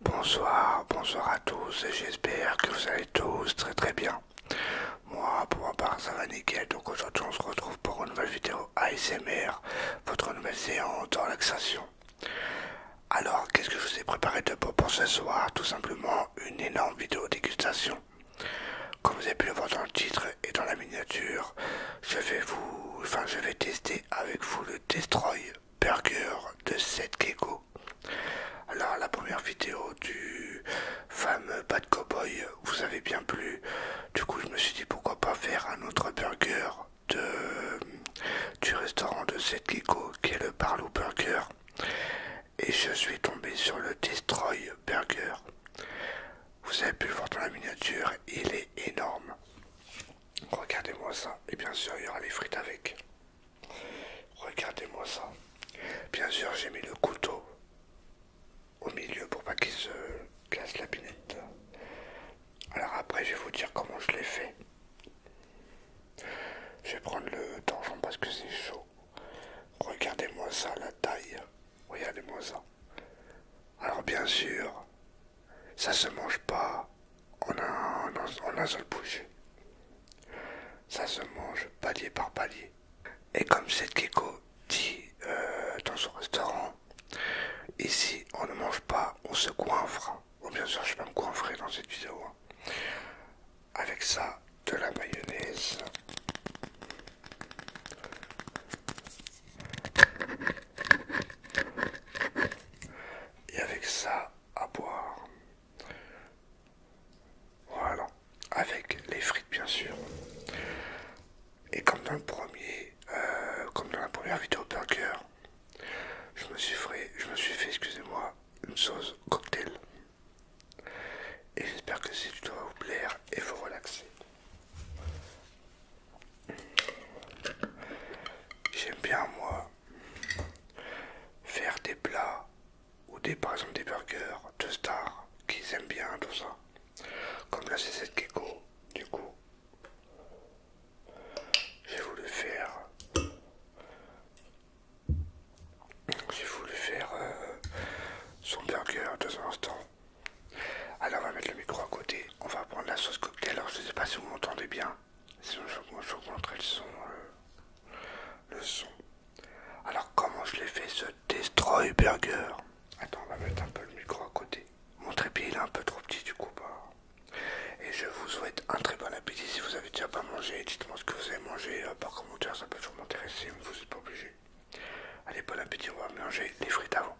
Bonsoir, bonsoir à tous et j'espère que vous allez tous très très bien. Moi pour ma part ça va nickel donc aujourd'hui on se retrouve pour une nouvelle vidéo ASMR, votre nouvelle séance de relaxation. Alors, qu'est-ce que je vous ai préparé de beau pour ce soir Tout simplement une énorme vidéo dégustation. Comme vous avez pu le voir dans le titre et dans la miniature, je vais vous, enfin, je vais tester avec vous le Destroy Burger de cette Gecko. Alors, la première vidéo du fameux Bad Cowboy vous avez bien plu. Du coup, je me suis dit pourquoi pas faire un autre burger de, du restaurant de Seth qui est le Barlow Burger et je suis tombé sur le Destroy Burger. Vous avez pu voir dans la miniature, il est énorme. Regardez-moi ça. Et bien sûr, il y aura les frites avec. Regardez-moi ça. Bien sûr, j'ai mis le couteau au milieu pour pas qu'il se casse la pinette. Alors après, je vais vous dire comment je l'ai fait. Je vais prendre le donjon parce que c'est chaud. Regardez-moi ça, la taille. Regardez-moi ça. Alors bien sûr, ça se mange pas en un, seul bouche. Ça se mange palier par palier. Et comme cette gecko dit euh, dans son restaurant, ici on ne mange pas, on se coiffe. Bon, oh, bien sûr, je sais même quoi dans cette vidéo. Hein. Avec ça, de la mayonnaise. Et avec ça, à boire. Voilà. Avec les frites, bien sûr. Et comme dans premier, euh, comme dans la première vidéo burger, je me suis fait, excusez-moi, une sauce cocktail. Et j'espère que cette va vous plaire et vous relaxer. J'aime bien moi faire des plats ou des par exemple des burgers de stars qu'ils aiment bien tout ça. Comme la c'est cette du coup j'ai voulu faire. J'ai voulu faire euh, son burger dans un instant. Alors on va mettre le micro à côté. On va prendre la sauce cocktail. Alors je ne sais pas si vous m'entendez bien. Sinon montrer le son. Euh, le son. Alors comment je l'ai fait ce destroy burger Attends, on va mettre un peu le micro à côté. Mon trépied il est un peu trop petit du coup. Bah. Et je vous souhaite un très bon appétit. Si vous avez déjà pas mangé, dites-moi ce que vous avez mangé euh, par commentaire, ça peut toujours m'intéresser, vous n'êtes pas obligé. Allez, bon appétit, on va mélanger les frites avant.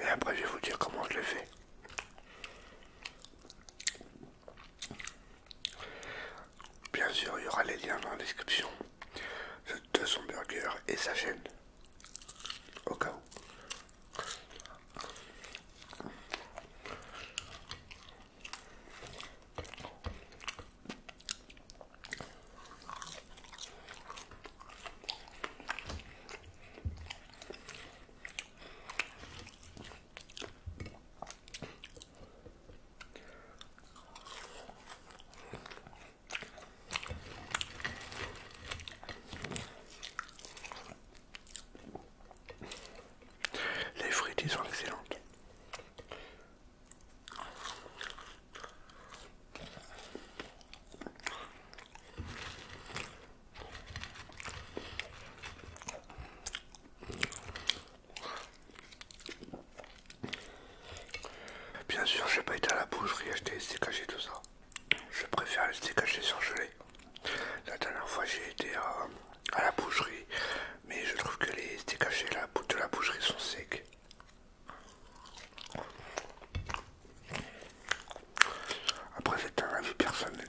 Et après, je vais vous dire comment je le fais. Bien sûr, il y aura les liens dans la description de son burger et sa chaîne. Au cas où. Les frites sont excellentes. Bien sûr, j'ai pas été à la boucherie acheter les steaks tout ça. Je préfère les steaks sur surgelés. La dernière fois, j'ai été à, la boucherie, mais je trouve que les steaks de la boucherie sont secs. Après, c'est un avis personnel.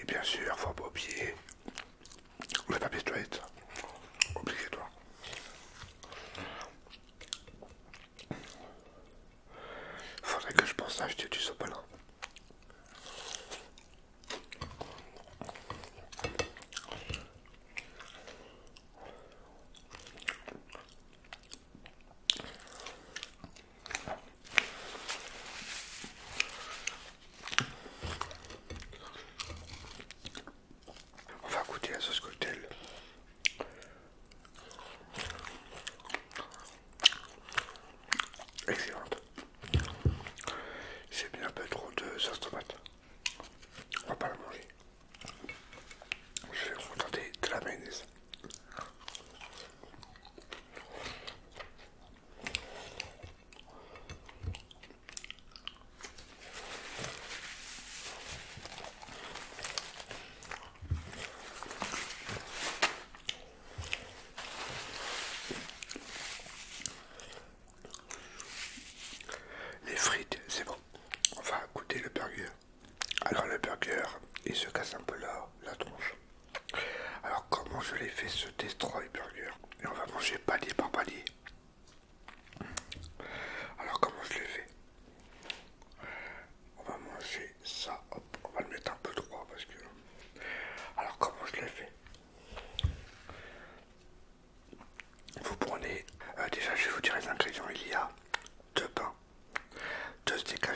Et bien sûr, faut pas oublier le papier toilette, obligatoire. Faudrait que je pense à acheter du sopalin. On va goûter la sauce cocktail. Excellente. C'est bien un peu trop de sauce tomate. On va pas la manger. Je vais vous tenter de la mayonnaise. Les frites, c'est bon. On va goûter le burger. Alors le burger, il se casse un peu là, la tronche. Alors comment je l'ai fait ce destroy burger Et on va manger palier par palier. Alors comment je l'ai fait On va manger ça, hop, on va le mettre un peu droit parce que... Alors comment je l'ai fait Vous prenez... Euh, déjà je vais vous dire les ingrédients, il y a deux pains, deux steaks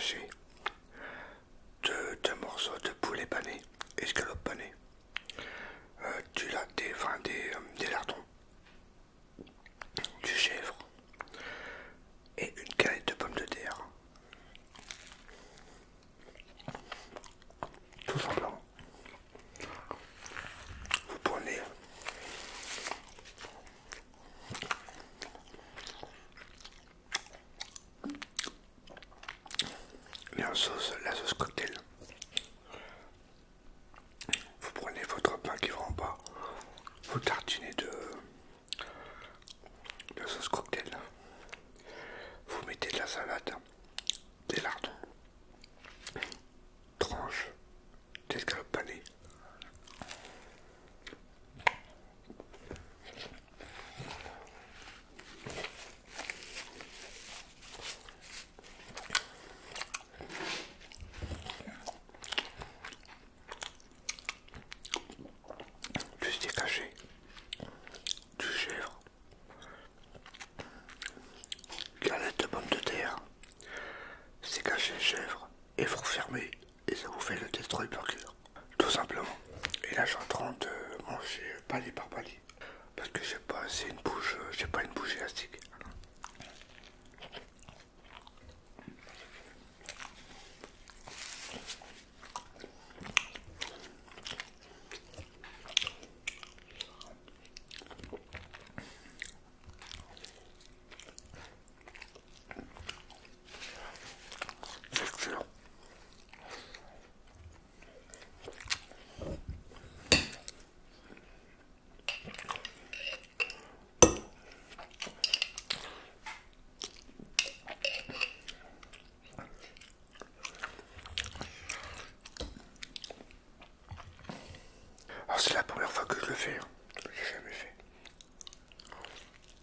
de morceaux de poulet pané, escalope panée, euh, du, latte euh, des, lardons, du chèvre et une canette de pommes de terre. Tout semblant. Vous prenez sauce, la sauce cocktail. Vous prenez votre pain qui va en bas, vous tartinez de, la sauce cocktail, vous mettez de la salade, des lardons, tranches d'escalope panée, plus caché, du chèvre, galette de pommes de terre, c'est caché chèvre et vous fermez et ça vous fait le test cœur tout simplement et là je suis en train de manger palier par palier parce que j'ai pas assez une bouche euh, j'ai pas une bouche élastique ah, c'est la première fois que je le fais, hein. j'ai jamais fait.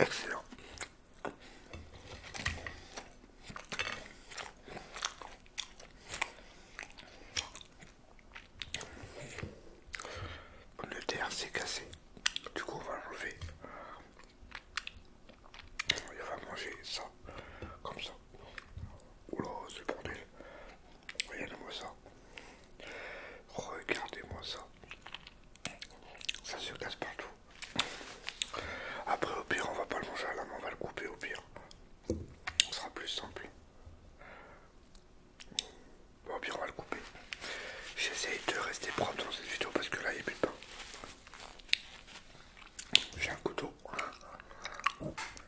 Excellent. Le terre s'est cassé. Du coup, on va lever. Il va manger ça, comme ça. Oula, c'est bordel. Regardez-moi ça. Regardez-moi ça. Ça se casse partout. Après, au pire, on va pas le manger à la on va le couper au pire. on sera plus simple. Bon, au pire, on va le couper. J'essaie de rester propre dans cette vidéo parce que là, il y a plus j'ai un couteau,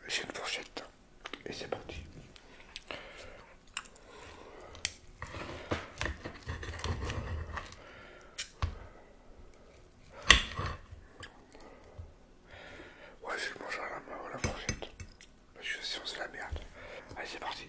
j'ai une fourchette et c'est parti. Ouais, je vais manger à la main la fourchette parce que sinon c'est la merde. Allez, c'est parti.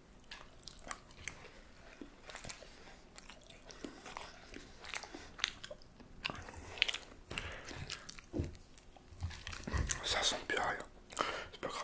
Ça sent plus rien, c'est pas grave.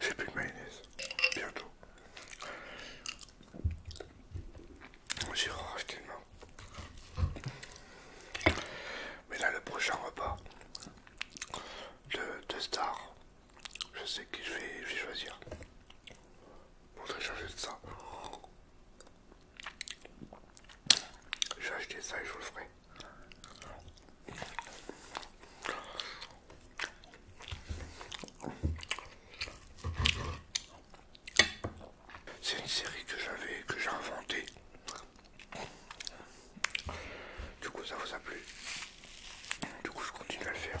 J'ai plus de mayonnaise. Bientôt. j'irai racheter Mais là, le prochain repas de, Star, je sais qui je vais, choisir. Pour te de ça. Je vais acheter ça et je vous le ferai. C'est une série que j'avais, que j'ai inventée. Du coup, ça vous a plu. Du coup, je continue à le faire.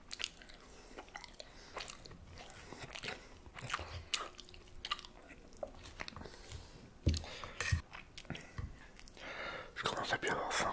Je commence à bien enfin.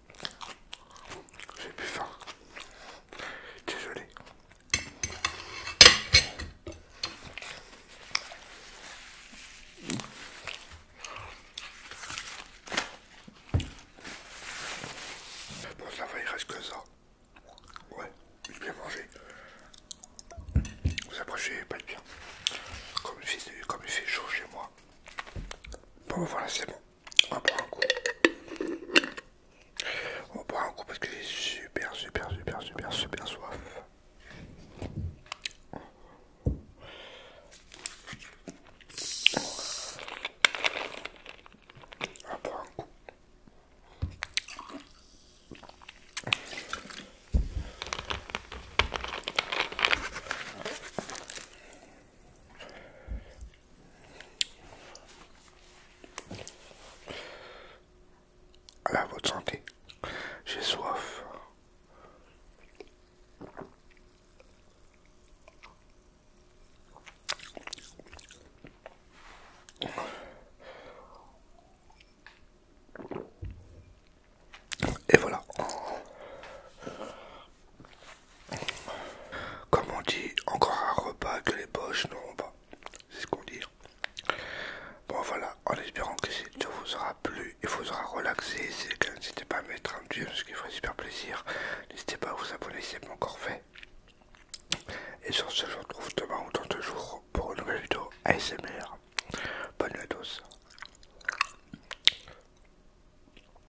J'ai plus faim. Désolé. Bon, ça va, il reste que ça. Ouais, j'ai bien mangé. Vous approchez pas de bien. Comme il, fait, comme il fait chaud chez moi. Bon, voilà, c'est bon. On prend un coup. On prend un coup parce que j'ai super, super, super, super, super soif. On prend un coup. À votre santé. J'ai soif. Et voilà. Comme on dit, encore un repas que les poches n'auront pas. C'est ce qu'on dit. Hein. Bon voilà, en espérant que cette vidéo vous aura plu et vous aura relaxé. N'hésitez pas à mettre un dieu, ce qui ferait super plaisir. N'hésitez pas à vous abonner si ce pas encore fait. Et sur ce, je vous retrouve demain ou dans deux jours pour une nouvelle vidéo ASMR. Bonne nuit à tous.